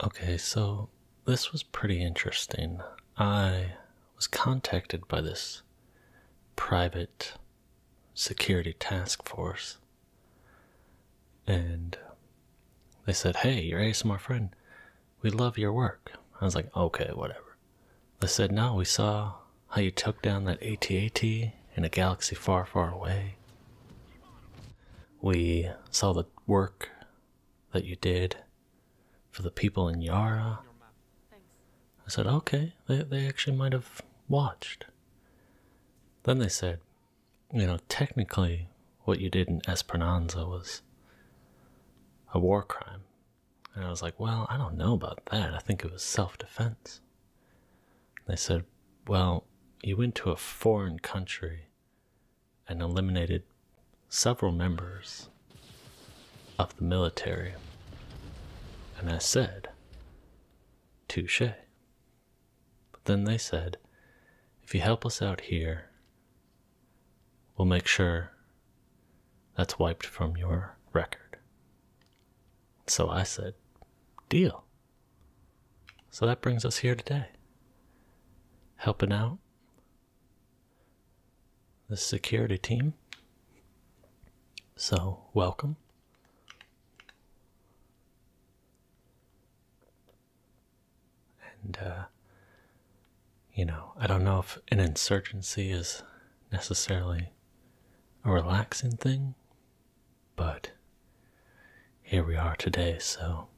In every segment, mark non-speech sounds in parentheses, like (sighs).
Okay, so this was pretty interesting. I was contacted by this private security task force, and they said, Hey, you're ASMR friend. We love your work. I was like, Okay, whatever. They said, "Now we saw how you took down that at ATAT in a galaxy far, far away. We saw the work that you did for the people in Yara. I said, okay, they, they actually might have watched. Then they said, you know, technically what you did in Esperanza was a war crime. And I was like, well, I don't know about that. I think it was self defense. They said, well, you went to a foreign country and eliminated several members of the military. And I said, Touche. But then they said, If you help us out here, we'll make sure that's wiped from your record. So I said, Deal. So that brings us here today. Helping out the security team. So, welcome. And, uh, you know, I don't know if an insurgency is necessarily a relaxing thing, but here we are today, so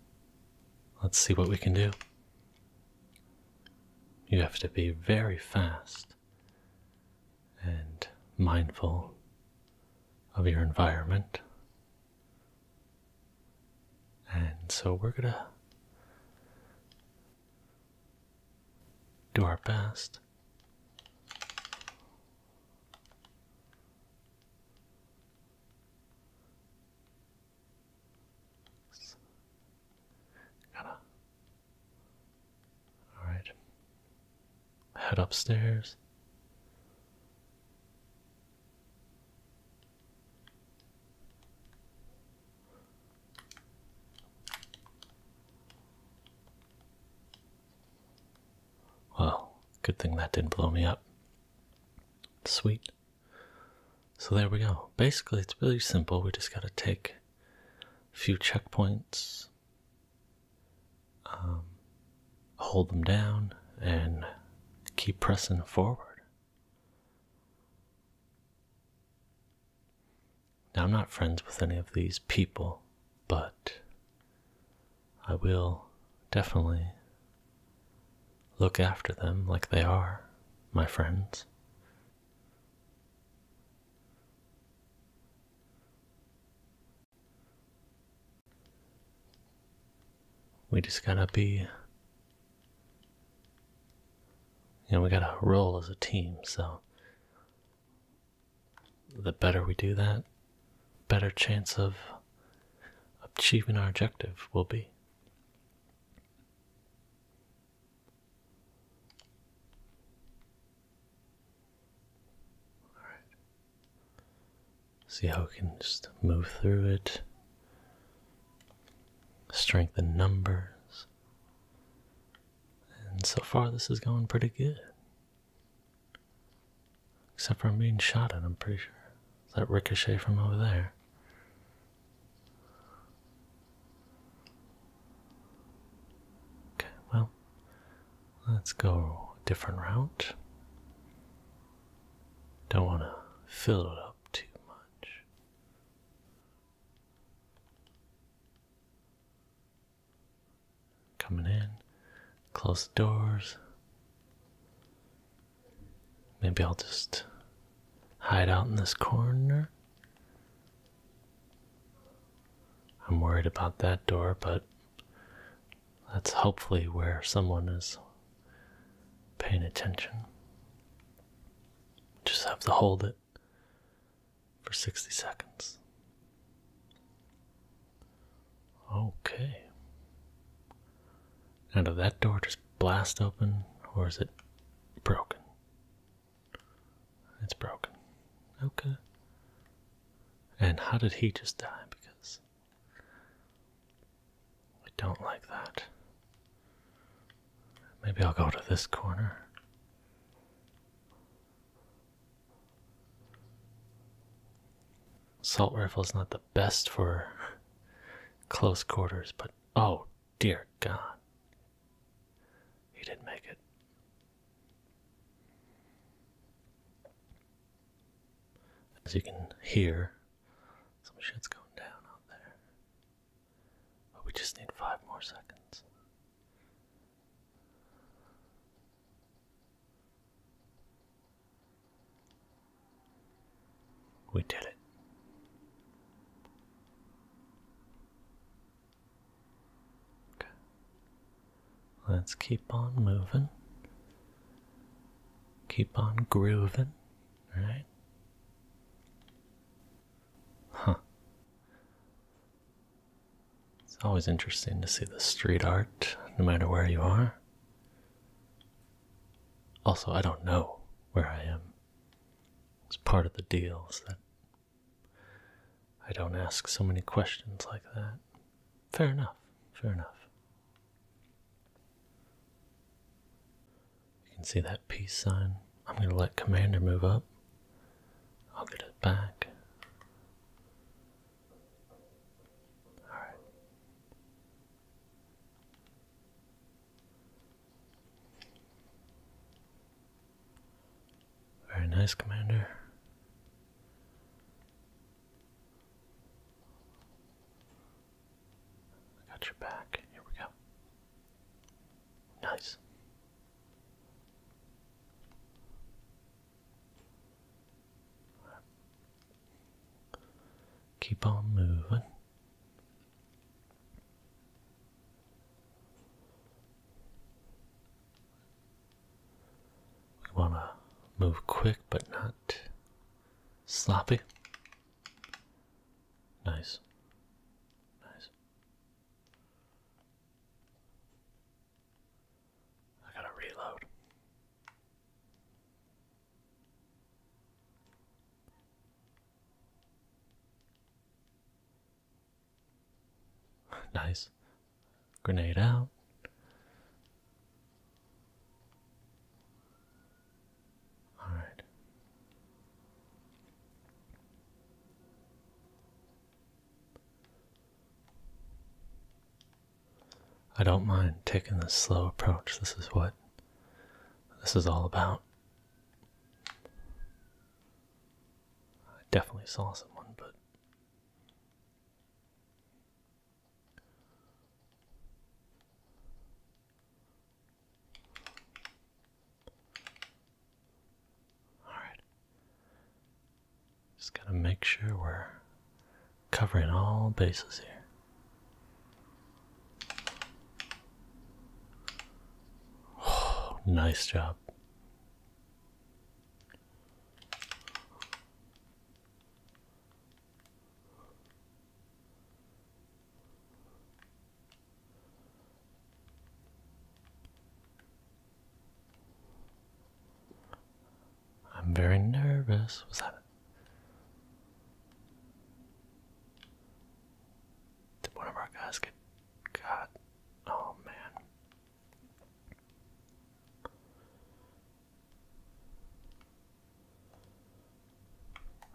let's see what we can do. You have to be very fast and mindful of your environment. And so we're going to do our best Gotta. Alright. Head upstairs. Well, good thing that didn't blow me up. Sweet. So there we go. Basically, it's really simple. We just got to take a few checkpoints, um, hold them down, and keep pressing forward. Now, I'm not friends with any of these people, but I will definitely look after them like they are my friends. We just gotta be. You know, we gotta roll as a team, so. The better we do that, better chance of achieving our objective will be. All right. See how we can just move through it, strengthen numbers. And so far, this is going pretty good. Except for being shot at, I'm pretty sure. that ricochet from over there? Okay, well, let's go a different route. Don't want to fill it up too much. Coming in, close the doors. Maybe I'll just hide out in this corner. I'm worried about that door, but that's hopefully where someone is paying attention. Just have to hold it for 60 seconds. Okay. Now, did that door just blast open, or is it broken? It's broken. Okay. And how did he just die? Because I don't like that. Maybe I'll go to this corner. Assault rifle is not the best for close quarters, but oh dear God. He didn't make it. As you can hear, some shit's going down out there. But we just need five more seconds. We did it. Okay. Let's keep on moving. Keep on grooving, right? Huh. It's always interesting to see the street art, no matter where you are. Also, I don't know where I am. It's part of the deal is that I don't ask so many questions like that. Fair enough, fair enough. You can see that peace sign. I'm going to let Commander move up. I'll get it back. Alright. Very nice, Commander. got your back. Here we go. Nice. Keep on moving. We want to move quick but not sloppy. Nice. Nice. I gotta reload. (laughs) nice. Grenade out. All right. I don't mind taking this slow approach. This is what this is all about. I definitely saw someone, but all right. Just gotta make sure we're covering all bases here. (sighs) nice job. I'm very nervous. Was that did one of our guys get Oh man.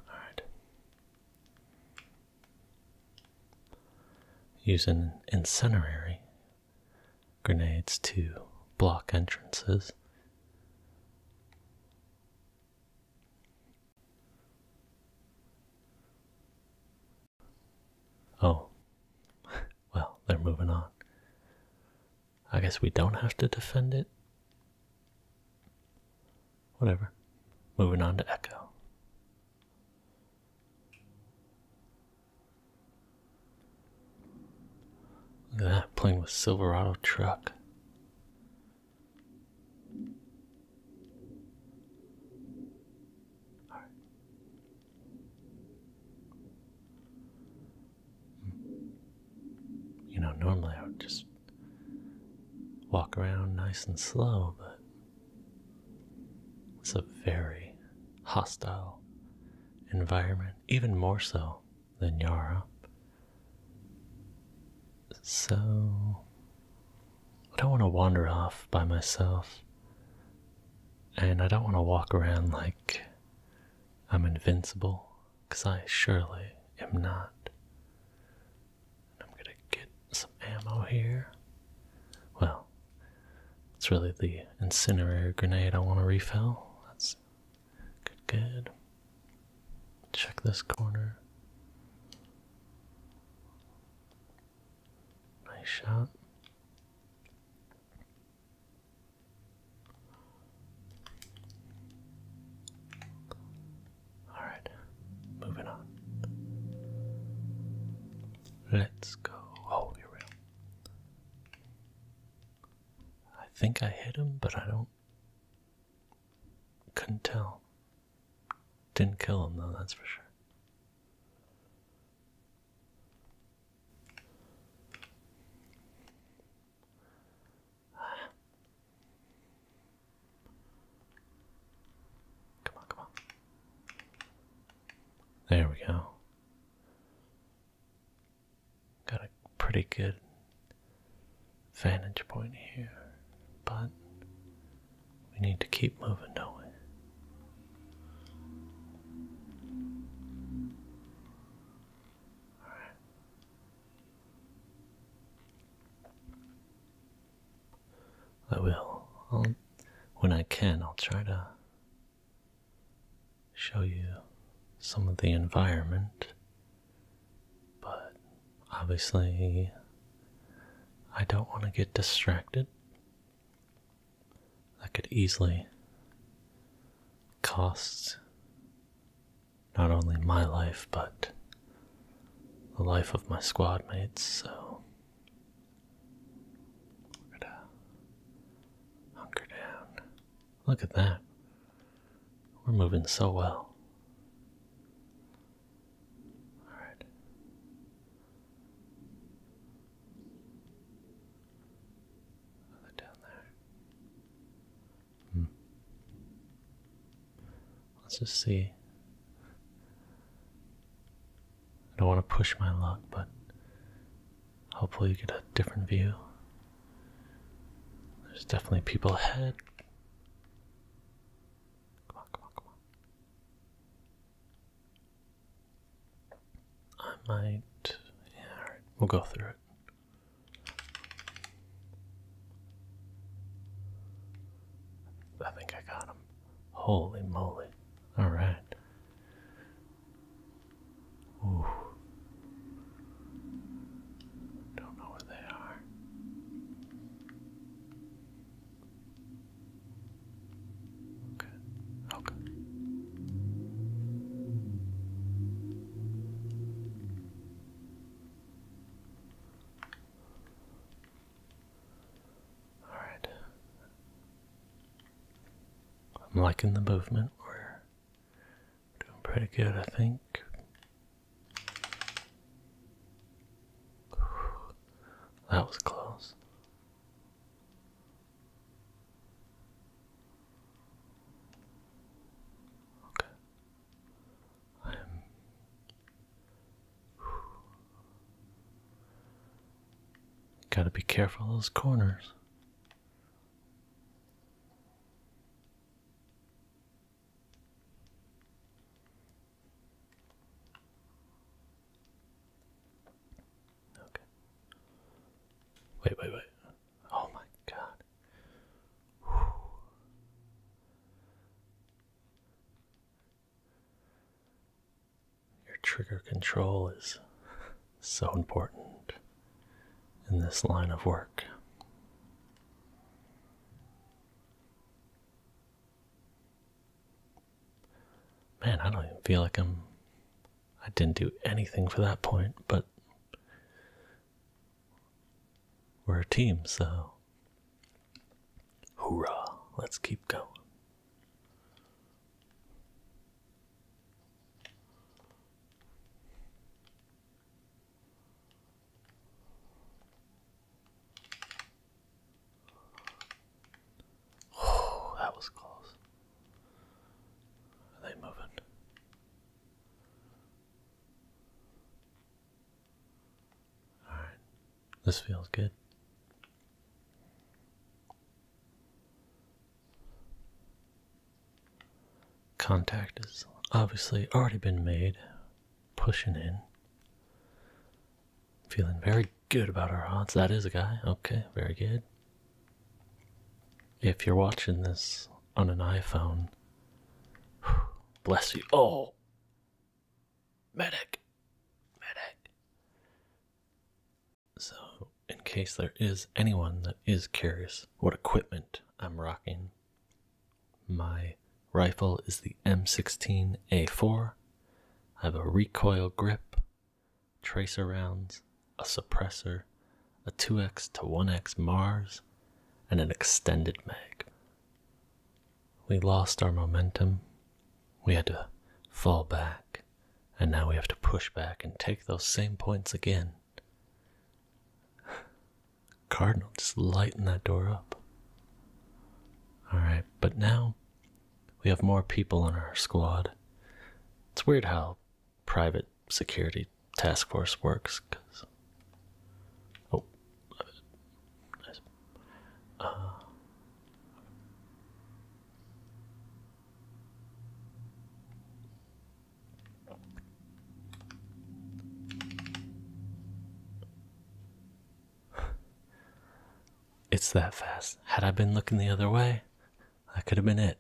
Alright. Use an incendiary grenades to block entrances Oh, (laughs) well, they're moving on. I guess we don't have to defend it. Whatever. Moving on to Echo. Look at that plane with Silverado truck. All right. You know, normally I would just walk around nice and slow, but it's a very hostile environment, even more so than Yara. So I don't want to wander off by myself. And I don't want to walk around like I'm invincible, because I surely am not. I'm going to get some ammo here. Well, it's really the incinerator grenade I want to refill. That's Good, good. Check this corner. Nice shot. All right, moving on. Let's go. Oh, you're real. I think I hit him, but I don't. Couldn't tell. Didn't kill him, though, that's for sure. (sighs) Come on, come on. There we go. Got a pretty good vantage point here, but we need to keep moving, don't All right. I will. I'll, when I can, I'll try to show you some of the environment, but obviously, I don't want to get distracted. That could easily cost not only my life, but the life of my squad mates, so we're gonna hunker down. Look at that. We're moving so well. All right. Other down there. Hmm. Let's just see. I don't want to push my luck, but Hopefully you get a different view. There's definitely people ahead. Come on, come on, come on. I might... Yeah, We'll go through it. I think I got him. Holy moly. Alright. Ooh. Don't know where they are. Okay. Okay. All right. I'm liking the movement. we Doing pretty good, I think. That was close. Okay. I'm um, Gotta be careful of those corners. Okay. Wait, wait, wait. Oh my god. Your trigger control is so important in this line of work. Man, I don't even feel like I'm. I didn't do anything for that point, but we're a team, so. Hoorah! Let's keep going. Oh, that was close. Are they moving? Alright, this feels good. Contact has obviously already been made. Pushing in. Feeling very good about our odds. That is a guy. Okay, very good. If you're watching this on an iPhone, (sighs) bless you. Oh! Medic! Medic! So, in case there is anyone that is curious what equipment I'm rocking. My rifle is the M16A4. I have a recoil grip, tracer rounds, a suppressor, a 2x to 1x Mars, and an extended mag. We lost our momentum. We had to fall back, and now we have to push back and take those same points again. Cardinal, just lighten that door up. Alright, but now we have more people on our squad. It's weird how private security task force works. Cause, oh, nice. Uh, (sighs) it's that fast. Had I been looking the other way, that could have been it.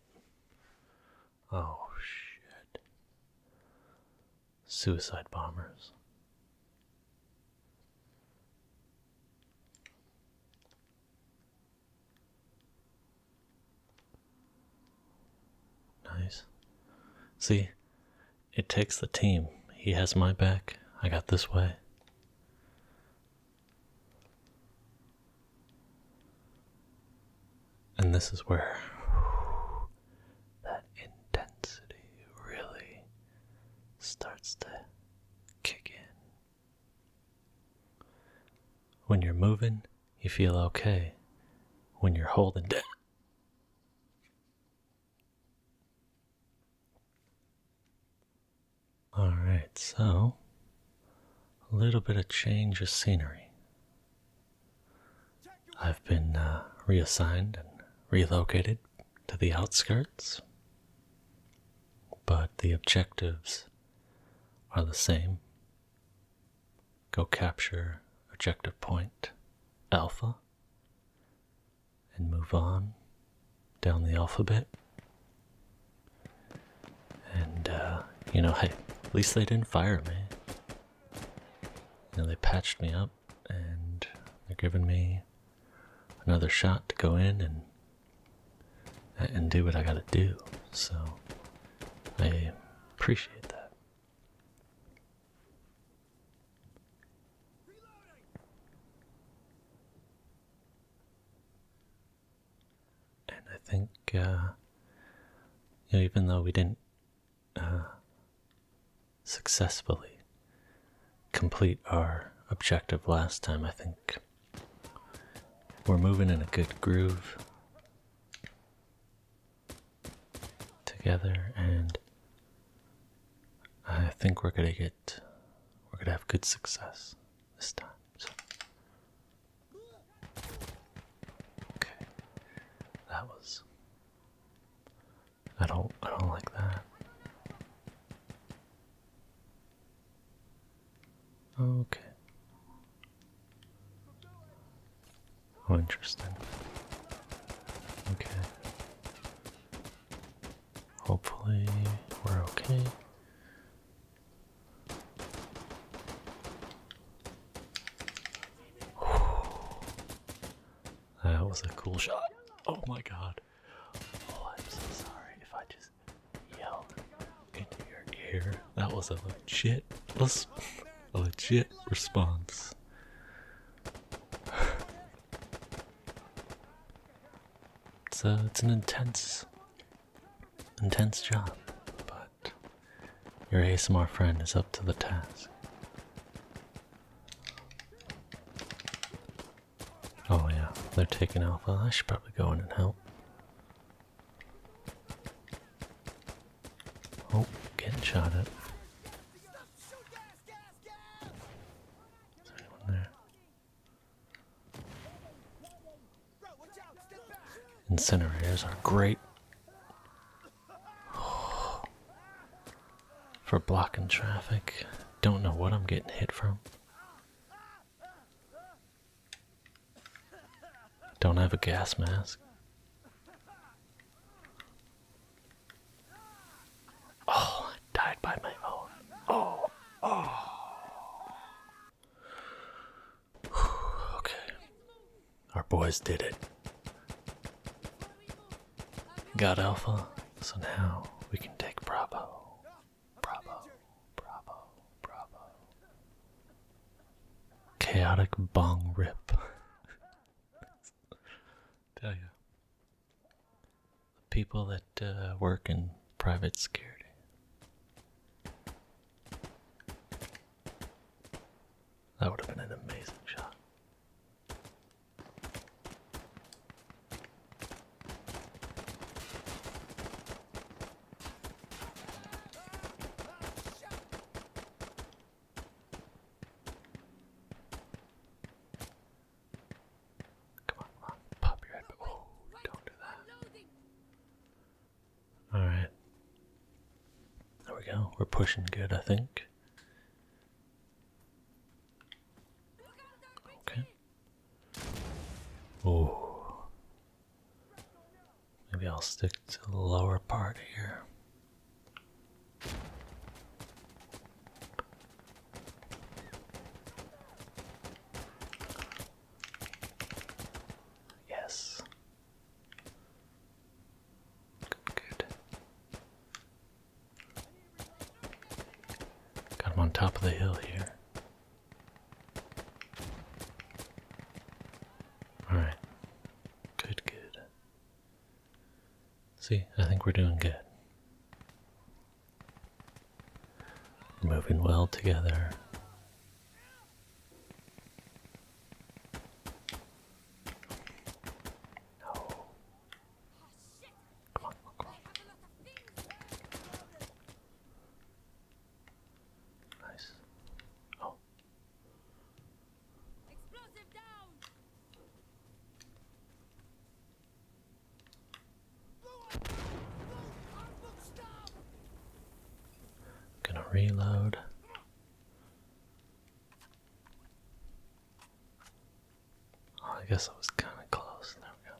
Oh, shit. Suicide bombers. Nice. See, it takes the team. He has my back. I got this way. And this is where that intensity really starts to kick in. When you're moving, you feel okay when you're holding down. Alright, so a little bit of change of scenery. I've been uh, reassigned and relocated to the outskirts, but the objectives are the same go capture objective point alpha and move on down the alphabet. And, uh, you know, hey, at least they didn't fire me. You know, they patched me up and they're giving me another shot to go in and and do what I gotta do. So I appreciate that. And I think, uh, even though we didn't uh, successfully complete our objective last time, I think we're moving in a good groove together and I think we're gonna get we're gonna have good success this time. So. Okay. That was I don't I don't like that. Okay. Oh, interesting. Okay. Hopefully, we're okay. That was a cool shot. Oh my god. Oh, I'm so sorry if I just yelled into your ear. That was a legit, a legit response. It's (sighs) a, it's an intense, intense job, but your ASMR friend is up to the task. Oh yeah, they're taking alpha. I should probably go in and help. Oh, getting shot at. Is there anyone there? Incinerators are great (sighs) for blocking traffic. Don't know what I'm getting hit from. Don't have a gas mask. Oh, died by my own. Oh, oh. okay. Our boys did it. Got Alpha, so now we can take Bravo. Bravo, Bravo, Bravo. Chaotic bong rip. (laughs) Tell you. The people that uh, work in private security. That would have been an amazing shot. Come on, come on, pop your head, oh, don't do that. Alright. There we go, we're pushing good, I think. Okay. Oh, Maybe I'll stick to the lower part here. Yes. Good. Got him on top of the hill here. Alright. Good, good. See, I think we're doing good. We're moving well together. Oh, no. Come on, Nice. Oh, i gonna reload. Oh, I guess I was kind of close. There we go.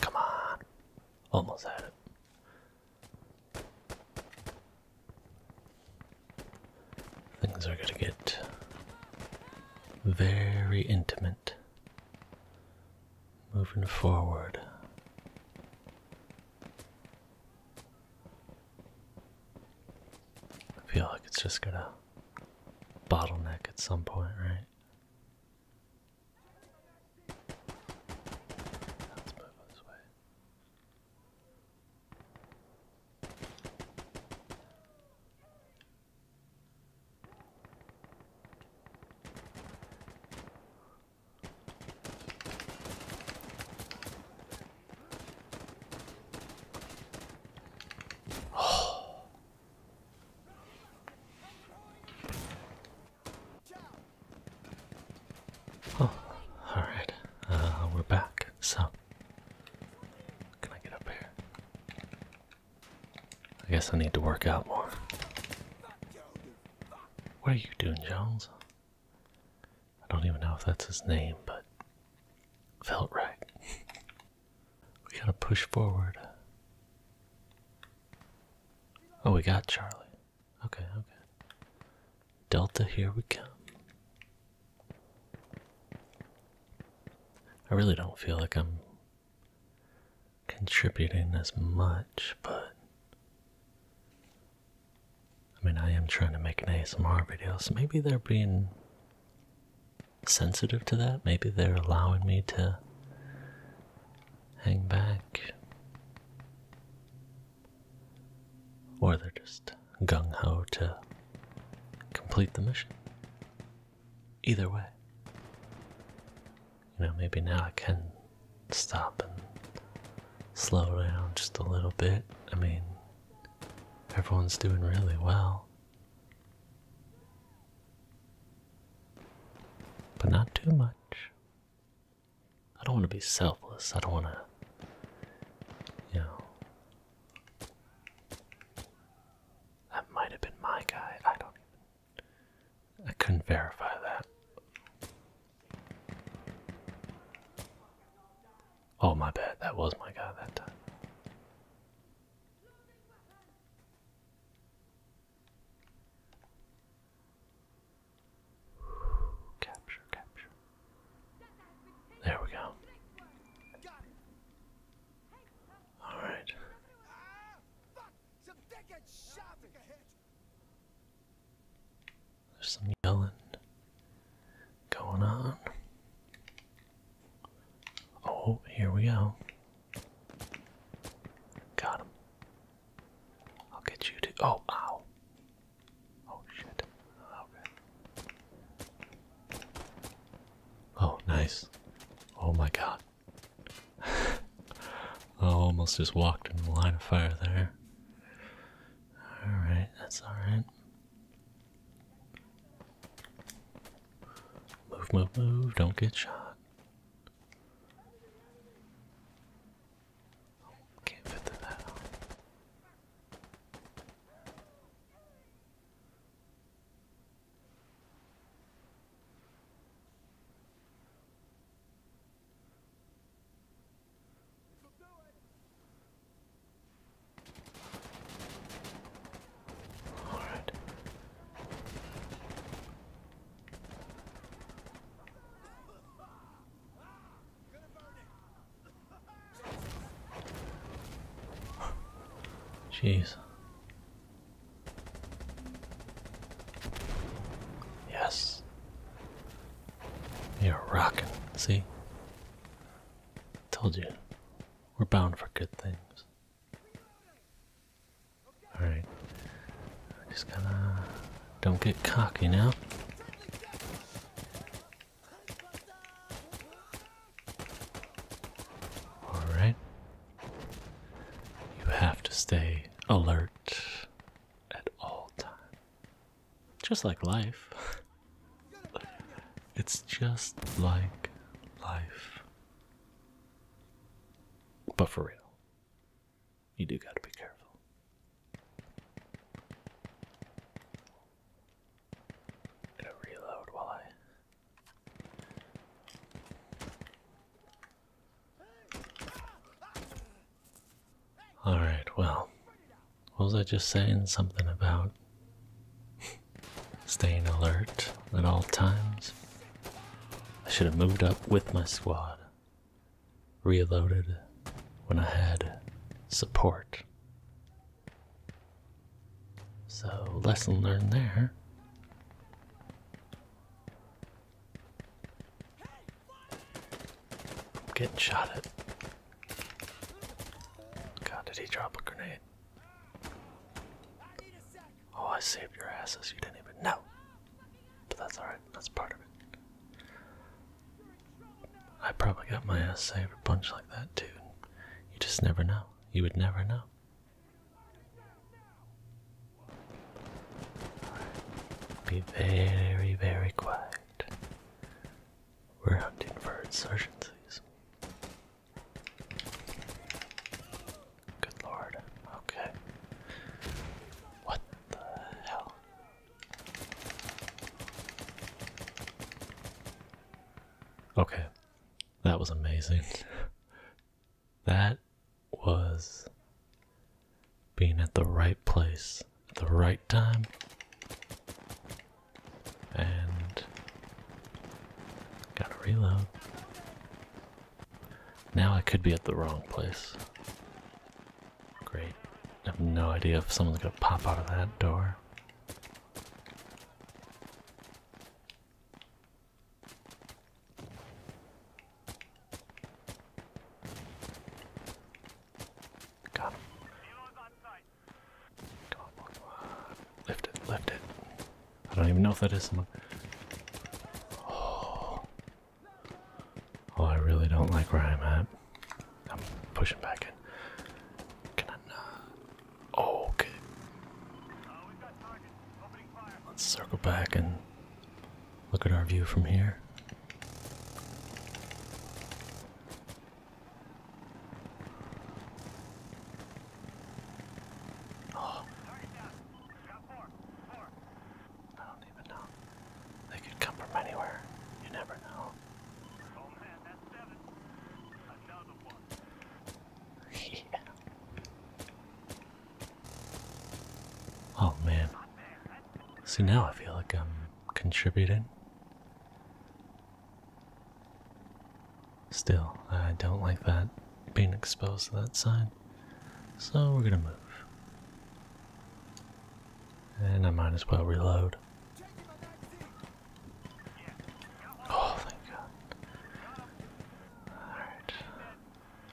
Come on. Almost had it. Things are going to get very intimate moving forward. I feel like it's just gonna bottleneck at some point, right? Oh, all right. Uh, we're back. So, can I get up here? I guess I need to work out more. What are you doing, Jones? I don't even know if that's his name, but felt right. we gotta push forward. Oh, we got Charlie. Okay, okay. Delta, here we come. I really don't feel like I'm contributing as much, but I mean, I am trying to make an ASMR video, so maybe they're being sensitive to that. Maybe they're allowing me to hang back. Or they're just gung ho to complete the mission. Either way, you know, maybe now I can stop and slow down just a little bit. I mean, everyone's doing really well. But not too much. I don't want to be selfless. I don't want to, you know. That might have been my guy. I don't I couldn't verify that. Oh, my bad. That was my guy that time. Capture, capture. There we go. All right. Ah, there's some yelling going on. Oh, here we go. Got him. I'll get you to. Oh, ow. Oh, shit. Okay. Oh, nice. Oh, my God. (sighs) I almost just walked in the line of fire there. Alright, that's alright. Move, move, move, don't get shot. can't fit the battle. All right. (laughs) Jeez. Yes. You're rocking, see? Told you. We're bound for good things. Alright. Just gotta. Don't get cocky now. Alright. You have to stay alert at all times. Just like life. (laughs) it's just like life. But for real, you do gotta be careful. i to reload while I Alright, well, was I just saying? Something about staying alert at all times? I should have moved up with my squad, reloaded when I had support. So, lesson learned there. I'm getting shot at. God, did he drop a grenade? Oh, I saved your asses. You didn't even know. But that's alright. That's part of it. I probably got my ass saved a bunch like that too. You just never know. You would never know. Be very, very quiet. We're hunting for insurgencies. Good lord. Okay. What the hell? Okay. That was amazing. That was being at the right place the right time and gotta reload. Now I could be at the wrong place. Great. I have no idea if someone's gonna pop out of that door. Got him. Come on, Lift it, lift it. I don't even know if that is someone. Oh. oh, I really don't like where I'm at. I'm pushing back in. Can I not? Oh, okay. Let's circle back and Look at our view from here. Oh. I don't even know. They could come from anywhere. You never know. Another (laughs) one. Oh man. See, now I feel like I'm contributing. Still, I don't like that being exposed to that sign. So we're gonna move. And I might as well reload. Oh, thank God. Alright.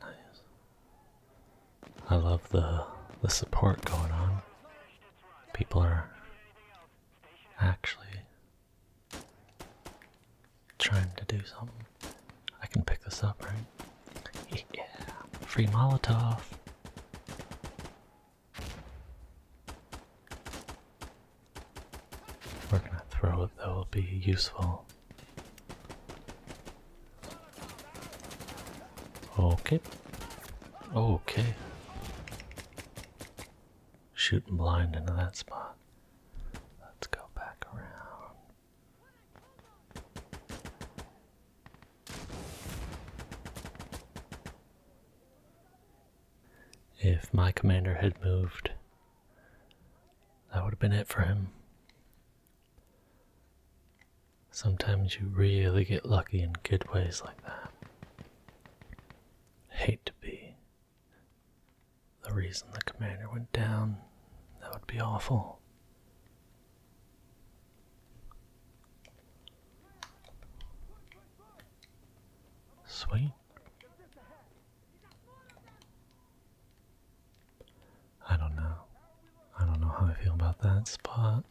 Nice. I love the the support going on. People are actually trying to do something. I can pick this up, right? Yeah, free Molotov. We're gonna throw it though, it'll be useful. Okay. Okay. Shooting blind into that spot. Let's go back around. If my commander had moved that would have been it for him. Sometimes you really get lucky in good ways like that. Hate to be the reason the commander went down. That would be awful. Sweet. I don't know. I don't know how I feel about that spot.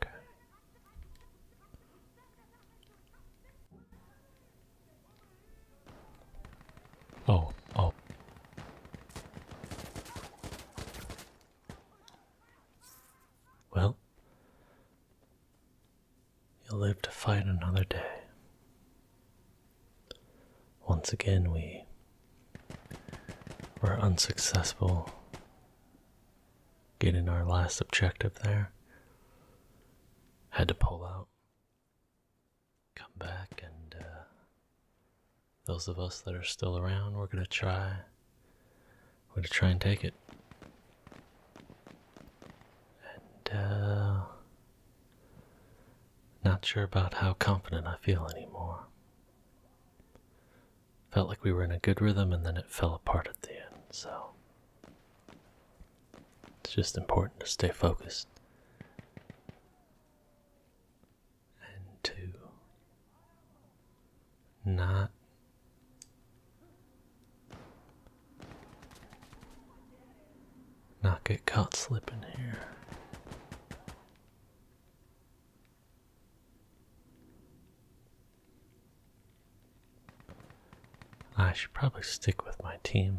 Okay. Oh, oh. Well, you'll live to fight another day. Once again, we were unsuccessful getting our last objective there. Had to pull out, come back, and uh, those of us that are still around, we're gonna try. We're gonna try and take it. And, uh. Not sure about how confident I feel anymore. Felt like we were in a good rhythm and then it fell apart at the end, so. It's just important to stay focused and two. Not not get caught slipping here. I should probably stick with my team.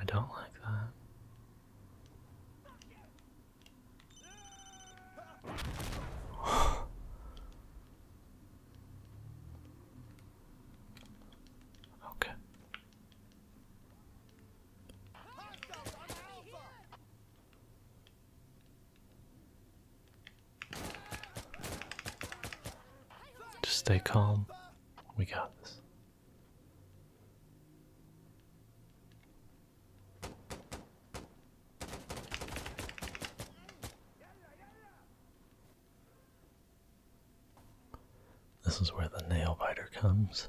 i don't like that. (laughs) Okay. Just stay calm. We got this. This is where the nail biter comes.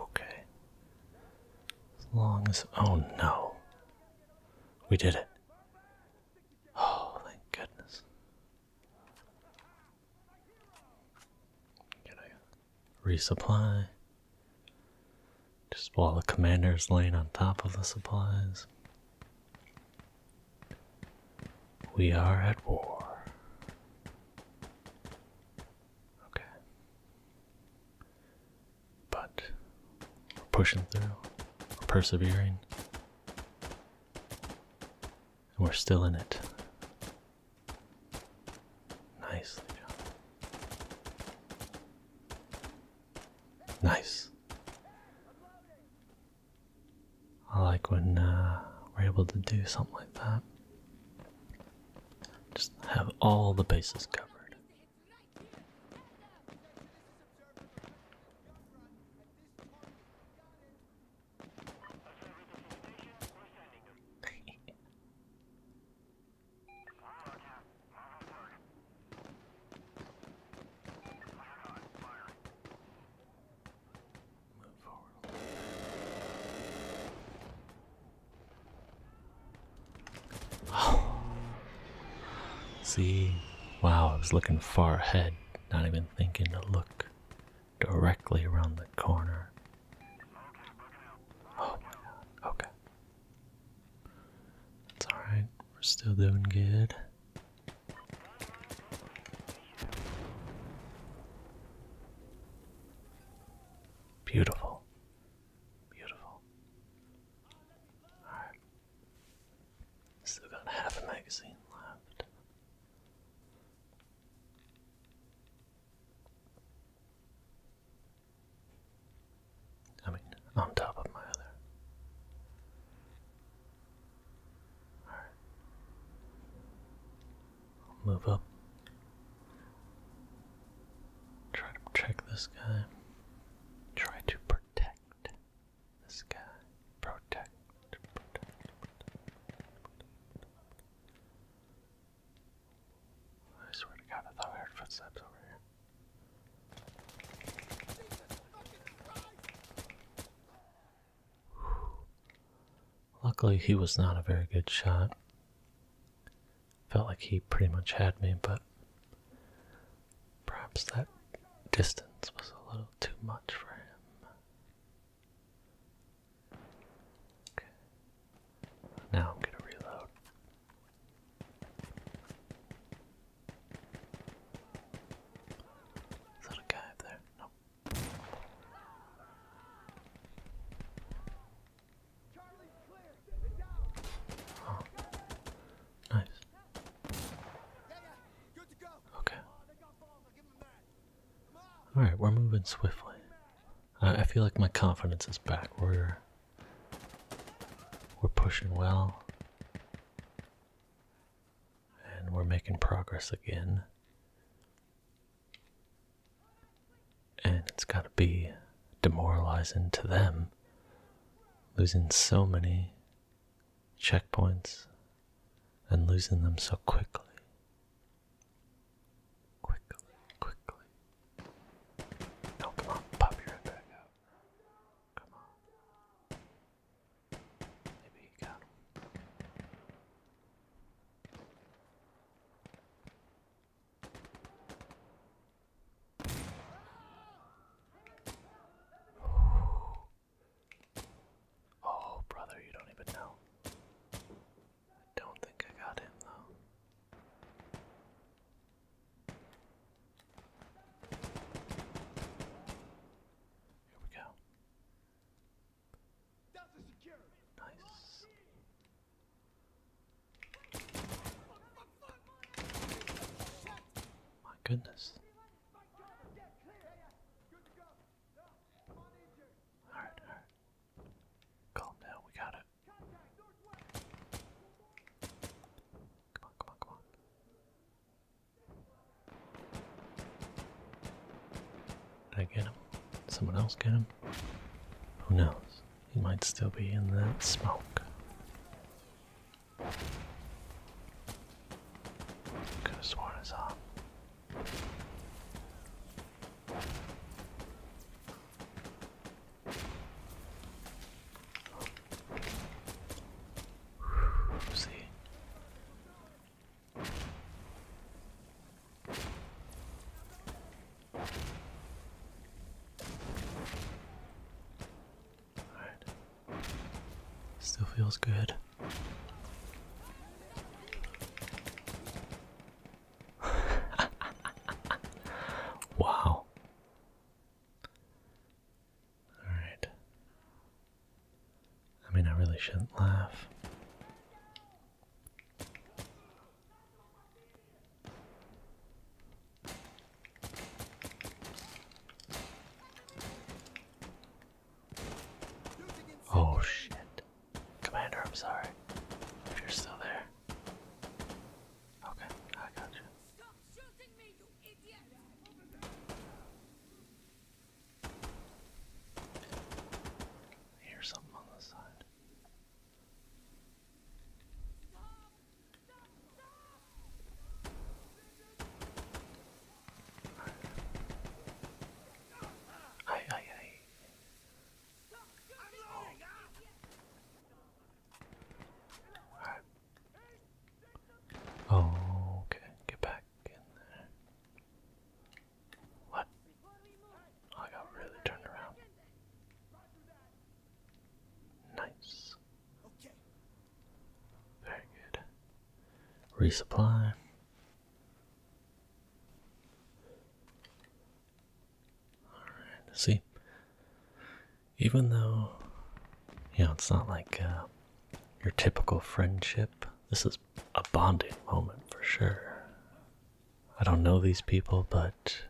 Okay. As long as. Oh no. We did it. Oh, thank goodness resupply. Just while the commander's laying on top of the supplies. We are at war. Okay. But we're pushing through, we're persevering, and we're still in it. Nicely done. Nice. I like when uh, we're able to do something like that. Just have all the bases covered. (laughs) Oh. See, wow, I was looking far ahead, not even thinking to look directly around the corner. Oh okay. It's alright, we're still doing good. Beautiful. Beautiful. Alright. Still got half a magazine left. I mean, on top of my other. Alright. move up. Try to check this guy. Try to protect this guy. protect. I swear to God, I thought I heard footsteps over here. Luckily, he was not a very good shot. Felt like he pretty much had me, but perhaps that distance was a little too much for him. Now I'm gonna reload. Is guy up there? Nope. Oh. Nice. Okay. Alright, we're moving swiftly. Uh, I, feel like my confidence is back. We're we're pushing well, and we're making progress again. And it's got to be demoralizing to them, losing so many checkpoints and losing them so quickly. Quickly, quickly. No, come on, pop me right out. Come on. Maybe he got Oh, brother, you don't even know. I don't think I got him, though. Here we go. Nice. My goodness. Alright, alright. Calm down, we got it. Come on, come on, come on. Did I get him? Did someone else get him? Who knows? He might still be in that smoke. Could have sworn I saw him. See. Still feels good wow. Alright. I mean, I really shouldn't laugh. Oh shit. Commander, I'm sorry. If you're still there. Okay, I got you. Stop shooting me, you idiot! Here's something on the side. Stop, stop, stop. Oh, okay. Get back in there. What? Oh, I got really turned around. Nice. Very good. Resupply see? Even though, you know, it's not like uh, your typical friendship, this is a bonding moment for sure. I don't know these people, but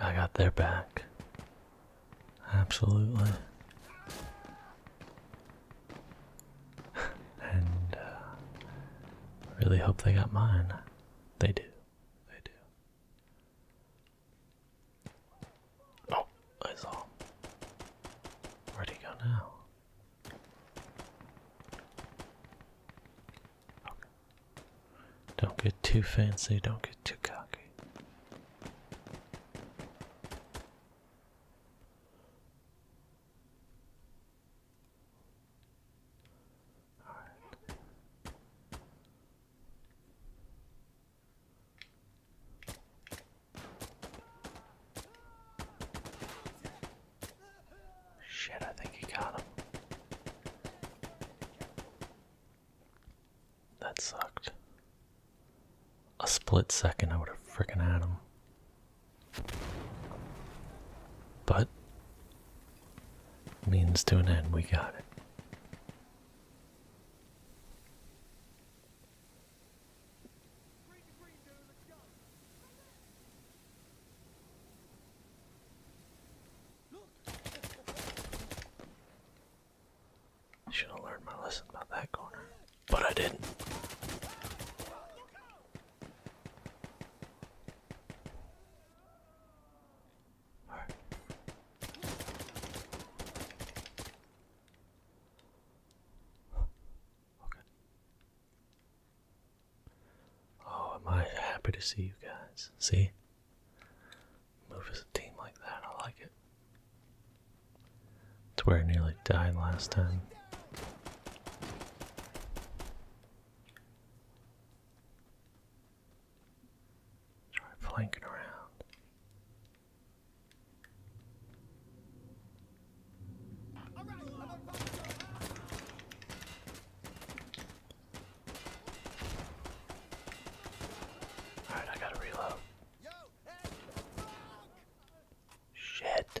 I got their back. Absolutely. and uh, really hope they got mine. They do. They do. Oh, I saw Where'd he go now? Okay. Don't get too fancy, don't get too cocky. Shit, I think he got him. That sucked. A split second, I would have freaking had him. But means to an end. We got it. should have learned my lesson about that corner, but I didn't. Alright. Oh, am I happy to see you guys? See? Move as a team like that, I like it. It's where I nearly died last time. Try flanking around. Alright, I gotta reload. Shit.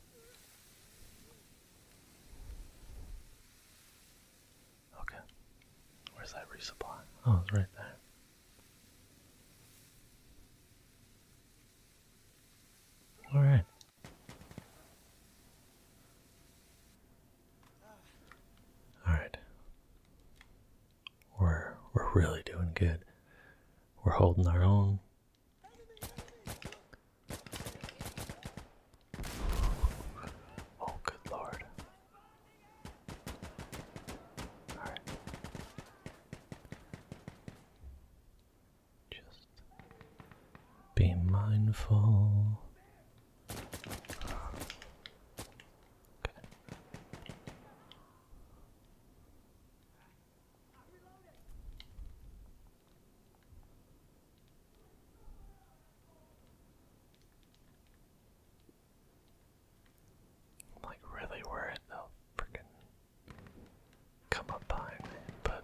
Okay. Where's that resupply? Oh, it's right there. Alright. Alright. We're we're really doing good. We're holding our own. Oh, good lord. Alright. Just be mindful. Okay. I'm like really worried they'll freaking come up behind but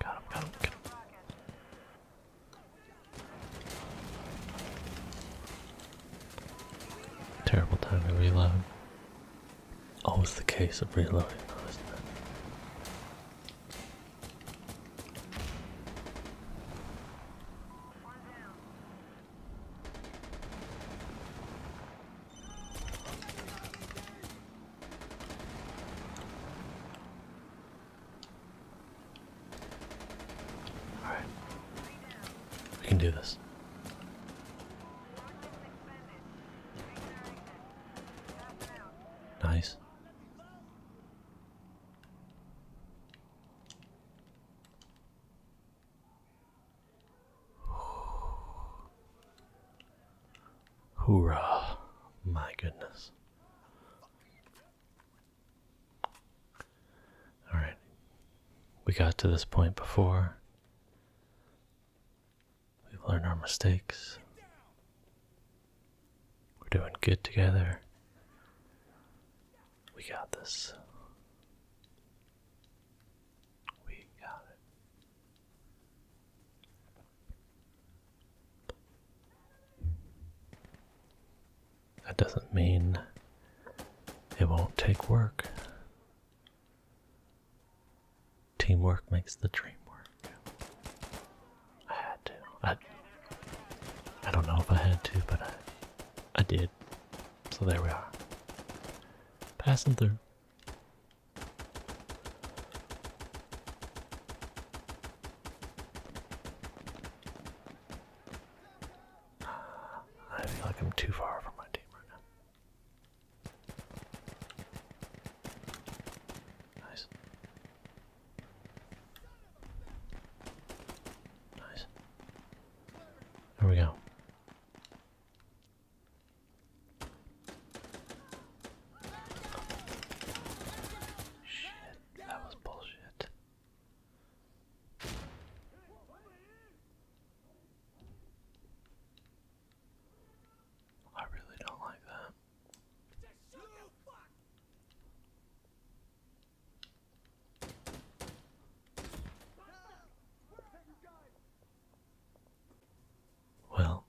Got him, got him, Terrible time to reload. Always the case of reloading, all right, we can do this. Nice. Hoorah. My goodness. Alright. We got to this point before. We've learned our mistakes. We're doing good together. We got this. We got it. That doesn't mean it won't take work. Teamwork makes the dream work. I had to. I, I don't know if I had to, but I, I did. So there we are. Passing through. I feel like I'm too far from my team right now. Nice. Nice. There we go. Shit, that was bullshit. I really don't like that. Well,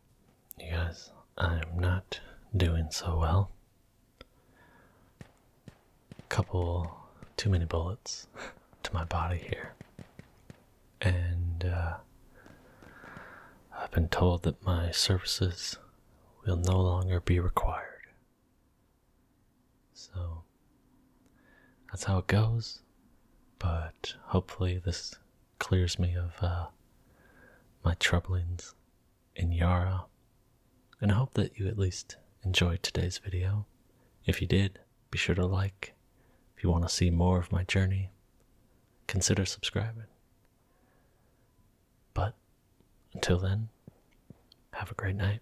you guys, I'm not doing so well. Couple too many bullets to my body here. And uh, I've been told that my services will no longer be required so that's how it goes. But hopefully, this clears me of uh, my troublings in Yara. And I hope that you at least enjoyed today's video. If you did, be sure to like. If you want to see more of my journey, consider subscribing. But until then, have a great night.